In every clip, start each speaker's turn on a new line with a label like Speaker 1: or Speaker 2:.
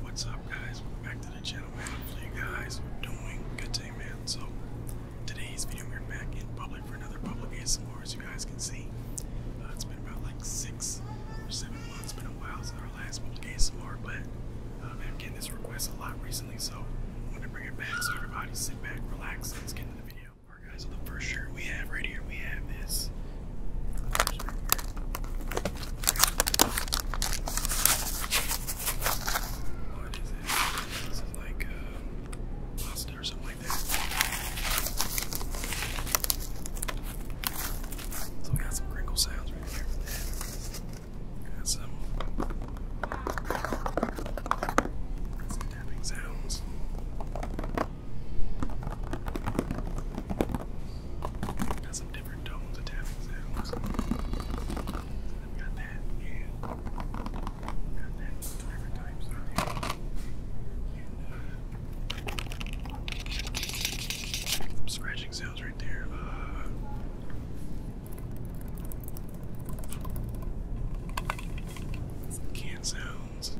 Speaker 1: What's up guys, back to the channel, man. Hopefully you guys are doing good today, man. So today's video we're back in public for another public ASMR as you guys can see. Uh, it's been about like six or seven months, it's been a while since our last public ASMR, but uh, i am getting this request a lot recently, so I'm gonna bring it back so everybody sit back, relax, and let's get into the video. guys, so the first shirt we have right here, we have this what is it? This is like uh, So we got some crinkle sounds right here Got some tapping sounds some different tones of tapping sounds. I've got that, yeah. Got that, different types on some scratching sounds right there. some uh, can sounds.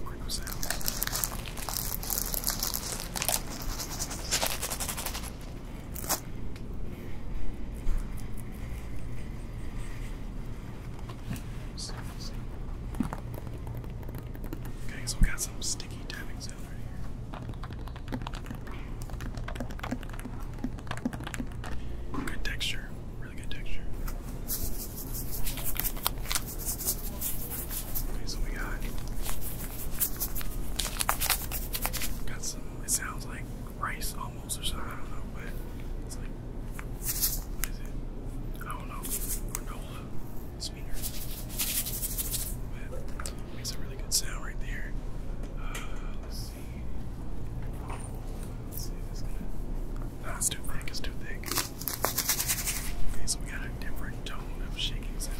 Speaker 1: More Lego sound. Okay, so we got some sticky tapping sound right here. Good texture, really good texture. Okay, so we got got some. It sounds like rice almost or something. I don't know, but it's like what is it? I don't know. Granola sweetener. Makes a really good sound right there. Uh, let's see. let too thick. It's too thick. Okay, so we got a different tone of shaking sound.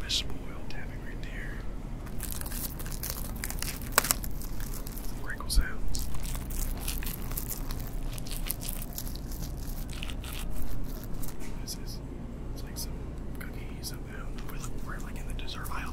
Speaker 1: Missable oil tapping right there. Wrinkles out. What is this? It's like some cookies somehow. We're like in the dessert aisle,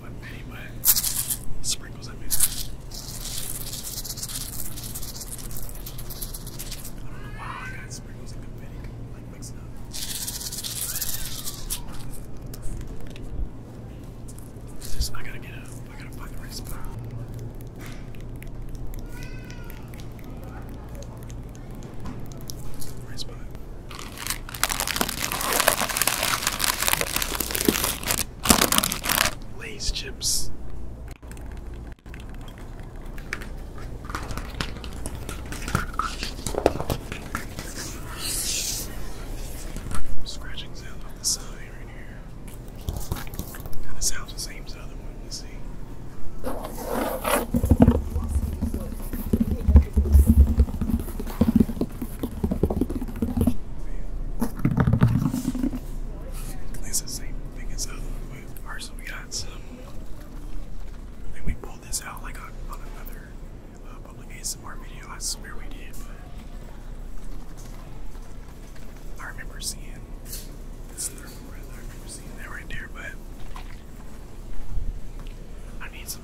Speaker 1: But anyway, sprinkles that music. I don't know why I sprinkles and confetti like mixed up. I gotta get up. I gotta find the right spot. Right spot. Lay's chips. Scratching sound on the side right here. And it sounds the same as the other one, you see. At the same thing as other one, but we got some. I we pulled this out like on, another uh, public video. I swear we did, I remember seeing this thermal breath. I remember seeing that right there, but I need some.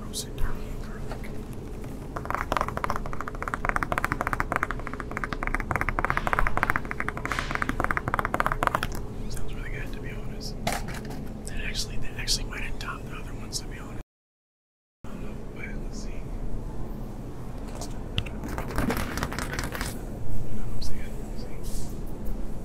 Speaker 1: roasted turkey and Sounds really good, to be honest. That actually, that actually might have topped the other ones, to be honest. I don't know, but let's see. You know what I'm saying?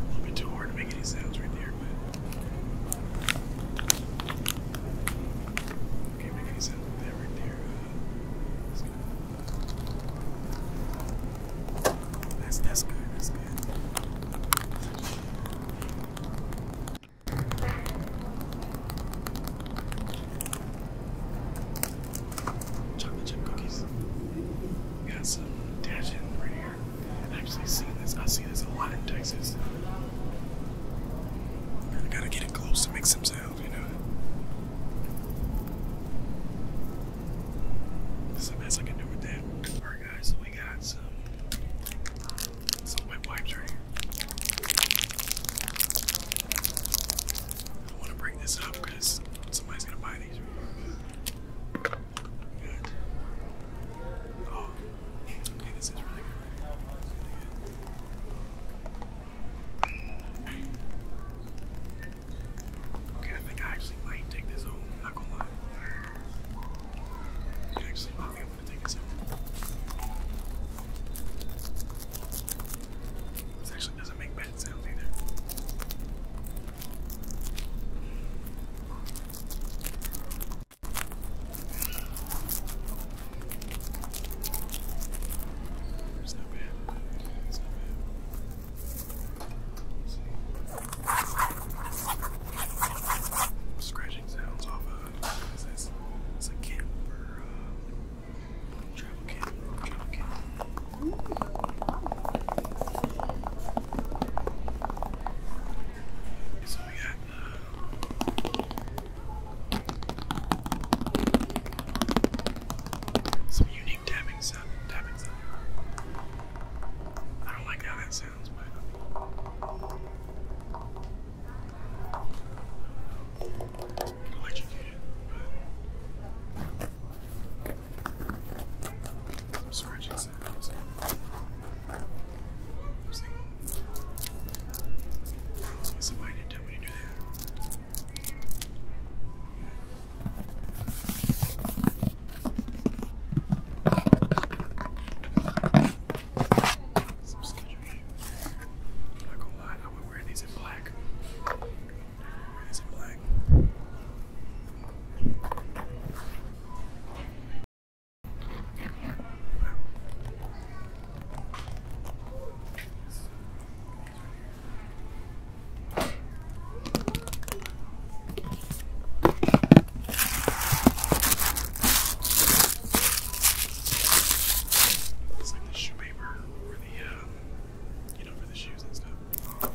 Speaker 1: A little bit too hard to make any sounds right there, but can make any sounds that right there. Uh, that's that's good. That's good. Chocolate chip cookies. We got some Dajin right here. I've actually seen this. I see this a lot in Texas. I gotta get it close to make some sound, you know. This is the best I can do with that. Alright guys, we got some some wet wipes right here. I want to bring this up because somebody's gonna buy these. Oh, this is really good. Okay, I think I actually might take this home. not gonna lie. This actually doesn't make bad sounds either. It's not bad. It's not bad. Scratching sounds off it's a camper, travel camper, travel camper. some unique tapping sound, tapping sound. I don't like how that sounds sounds might not be electrocuted, but some scratching sounds. I was thinking, if somebody didn't tell me to do that. Some sketchery. I'm not gonna lie, I would wear these in black. It's like the shoemaker or the, uh, you know, for the shoes and stuff. I'm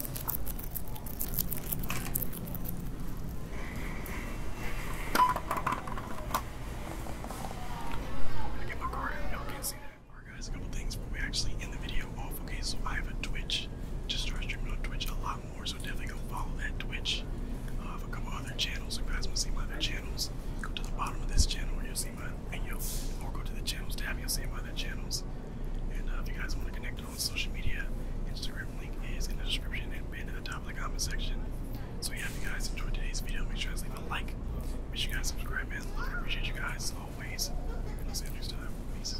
Speaker 1: gonna get my card out. can't see that. Alright guys, a couple things before we actually end the video off. Okay, so I have a Twitch. Just start streaming on Twitch a lot so definitely go follow that Twitch. Uh, I have a couple other channels. If you guys want to see my other channels, go to the bottom of this channel and you'll see my video, or go to the channels tab, you see my other channels. And uh, if you guys want to connect on social media, Instagram link is in the description and pinned at the top of the comment section. So yeah, if you guys enjoyed today's video, make sure you guys leave a like. Make sure you guys subscribe, man. I appreciate you guys always. see you next time. Peace.